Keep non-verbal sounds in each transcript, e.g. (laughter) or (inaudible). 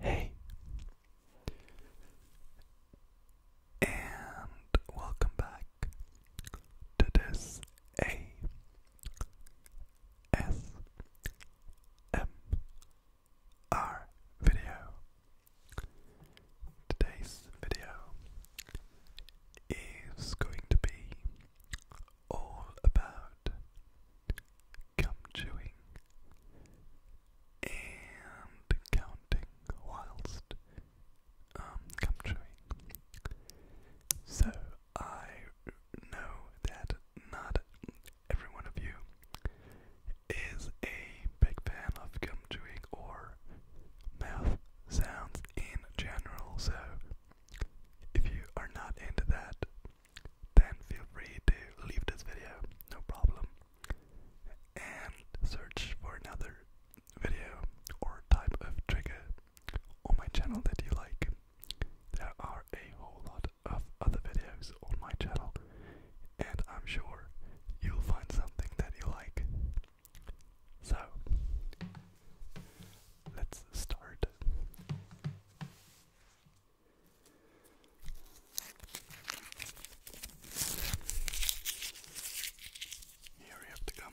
Hey, and welcome back to this A S M R video. Today's video is going to be all about gum chewing, and counting whilst um, gum chewing. So I know that not every one of you is a big fan of gum chewing or mouth sounds in general, so if you are not into that, then feel free to leave this video, no problem, and search for another video or type of trigger on my channel that you like. There are a whole lot of other videos on my channel, and I'm sure you'll find something that you like. So, let's start. You hurry up to come.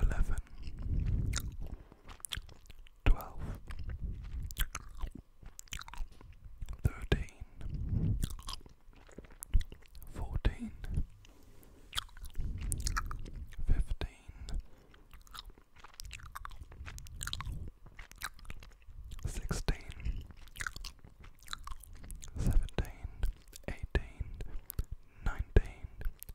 eleven, twelve, thirteen, fourteen, fifteen, sixteen, seventeen, eighteen, nineteen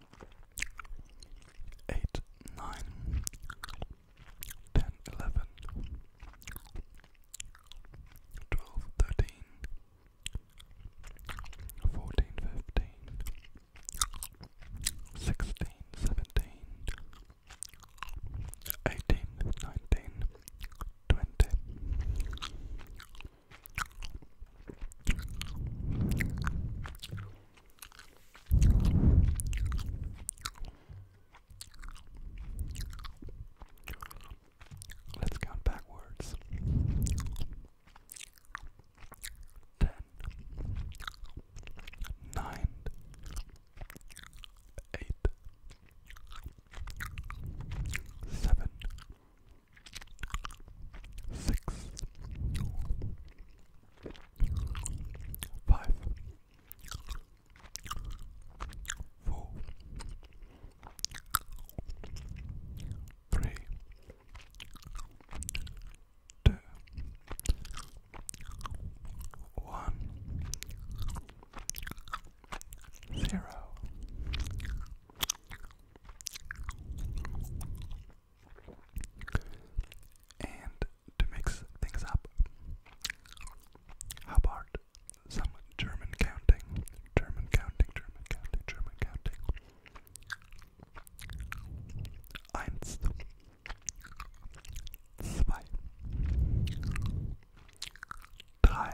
8, 9, 12, 13, 14, 15, 16, 17, 18, 19, 20. Let's count backwards. Ten, nine, eight, seven, six, five, four, three, two, one, zero. And to mix things up, how about some German counting? German counting, German counting, German counting. Eins, zwei, drei,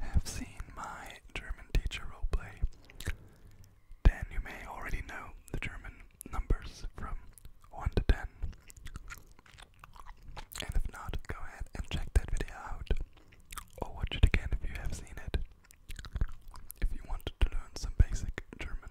have seen my German teacher roleplay, then you may already know the German numbers from 1 to 10. And if not, go ahead and check that video out, or watch it again if you have seen it, if you want to learn some basic German.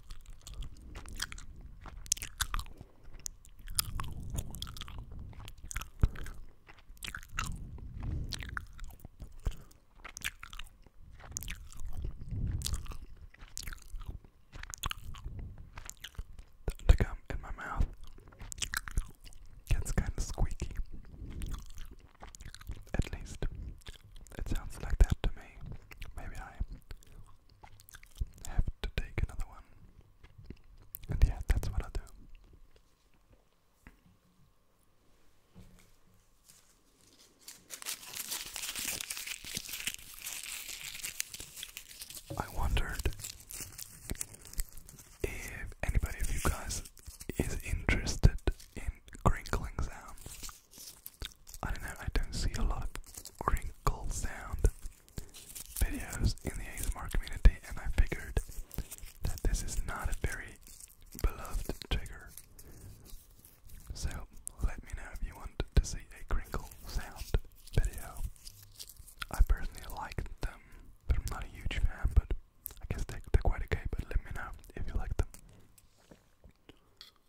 The gum in my mouth gets kind of squeaky. At least it sounds like that to me. Maybe I have to take another one. And yeah, that's what i do. I wondered if anybody of you guys is interested in crinkling sounds. I don't know, I don't see a lot of crinkle sound videos in the ASMR community, and I figured that this is not a very beloved trigger. So let me know if you want to see a crinkle sound video. I personally like them, but I'm not a huge fan, but I guess they they're quite okay, but let me know if you like them.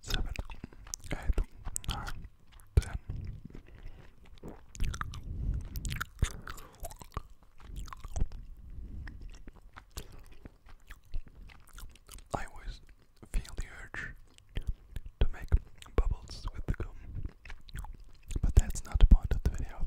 seven, eight, nine, ten. I always feel the urge to make bubbles with the gum, but that's not the point of the video.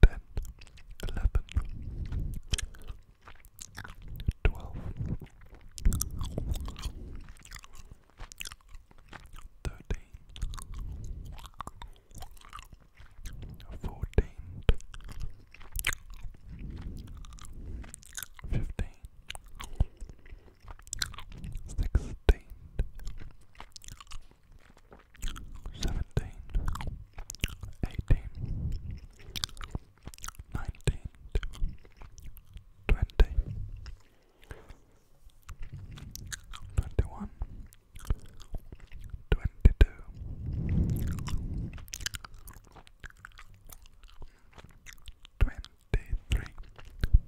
ten, eleven, twelve, thirteen, fourteen, fifteen. Sixteen, seventeen, eighteen, nineteen, twenty, twenty-one, twenty-two, twenty-three,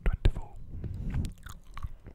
twenty-four. 23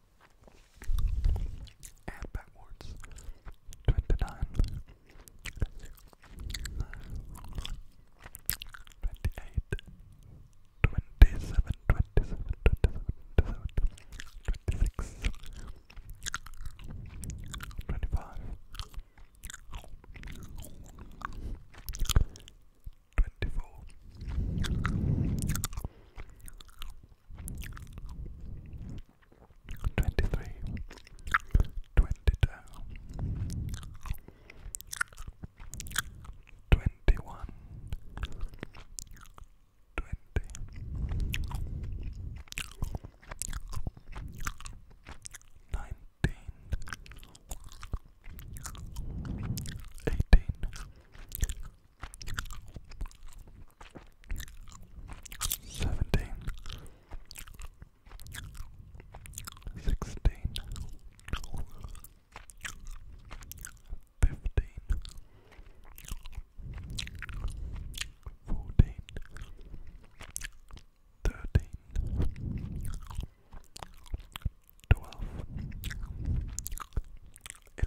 and backwards. Twenty nine, twenty eight, twenty seven, twenty seven, twenty seven, twenty seven, twenty six, twenty five. 24 23 24 twenty three, twenty two, twenty one, twenty, nineteen, eighteen. 17 seventeen, sixteen, fifteen, fourteen, thirteen, twelve, eleven. 10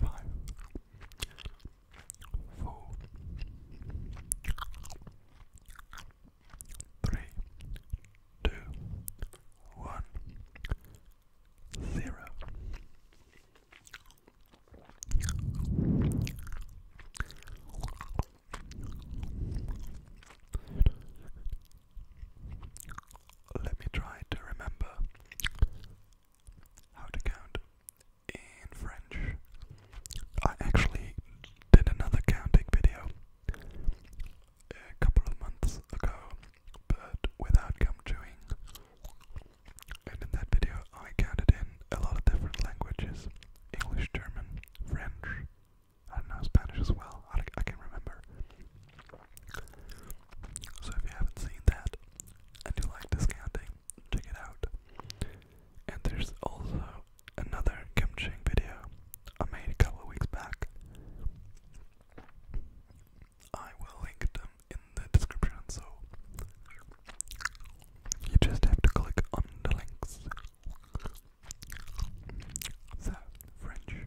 Five, four, three, two, one, zero. Let me try to remember how to count in French. I actually did another counting video a couple of months ago, but without counting. And in that video, I counted in a lot of different languages English, German, French, I don't know, Spanish as well. I, I can remember. So if you haven't seen that and you like discounting, check it out. And there's also another kimchi video I made a couple weeks back. I will link them in the description, so you just have to click on the links. So, French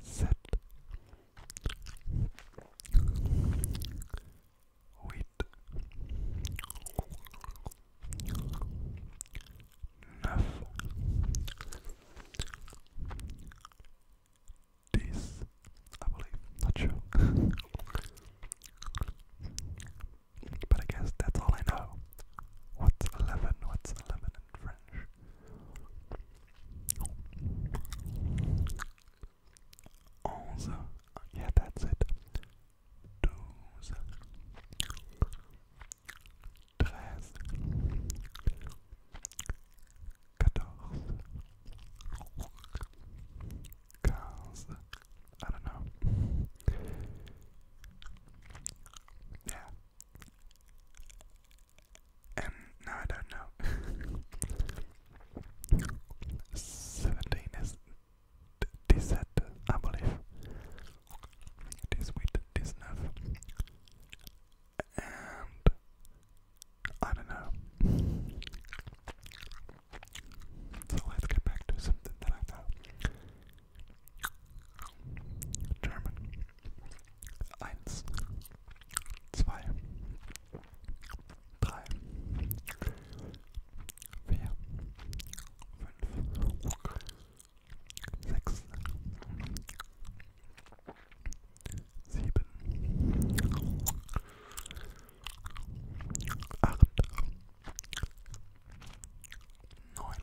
Set I believe, not sure. (laughs) but I guess that's all I know. What's eleven? What's eleven? and French. Onze, yeah, that's it. Douze, treize, quatorze, quinze. I don't know. Yeah and now I don't know. (laughs) 17 is Dissette, I believe. It is with this nerve. And I don't know. So let's get back to something that I know. German. Eins, zwei, drei, vier, fünf, sechs, sieben, acht, neun,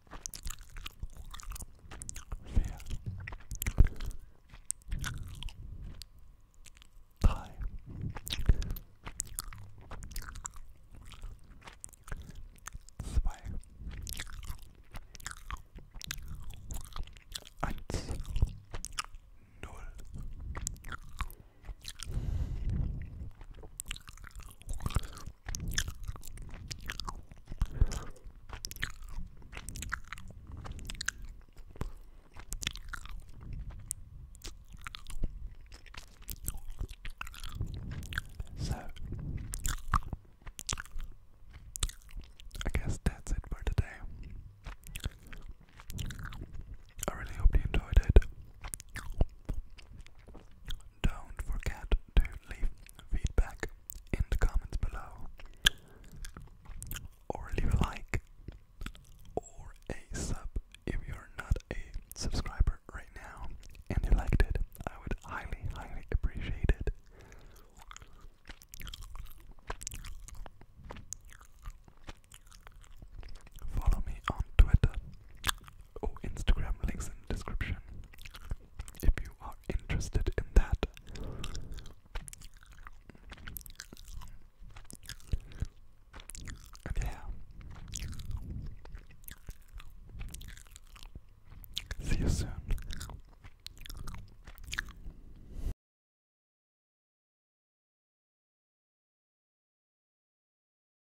vier, drei, zwei, eins, null. So, I guess that's it for today. I really hope you enjoyed it. Don't forget to leave feedback in the comments below, or leave a like, or a sub if you're not a subscriber right now and you liked it. I would highly, highly appreciate it. Follow me on Twitter or oh, Instagram links in description if you are interested in that. yeah. See you soon.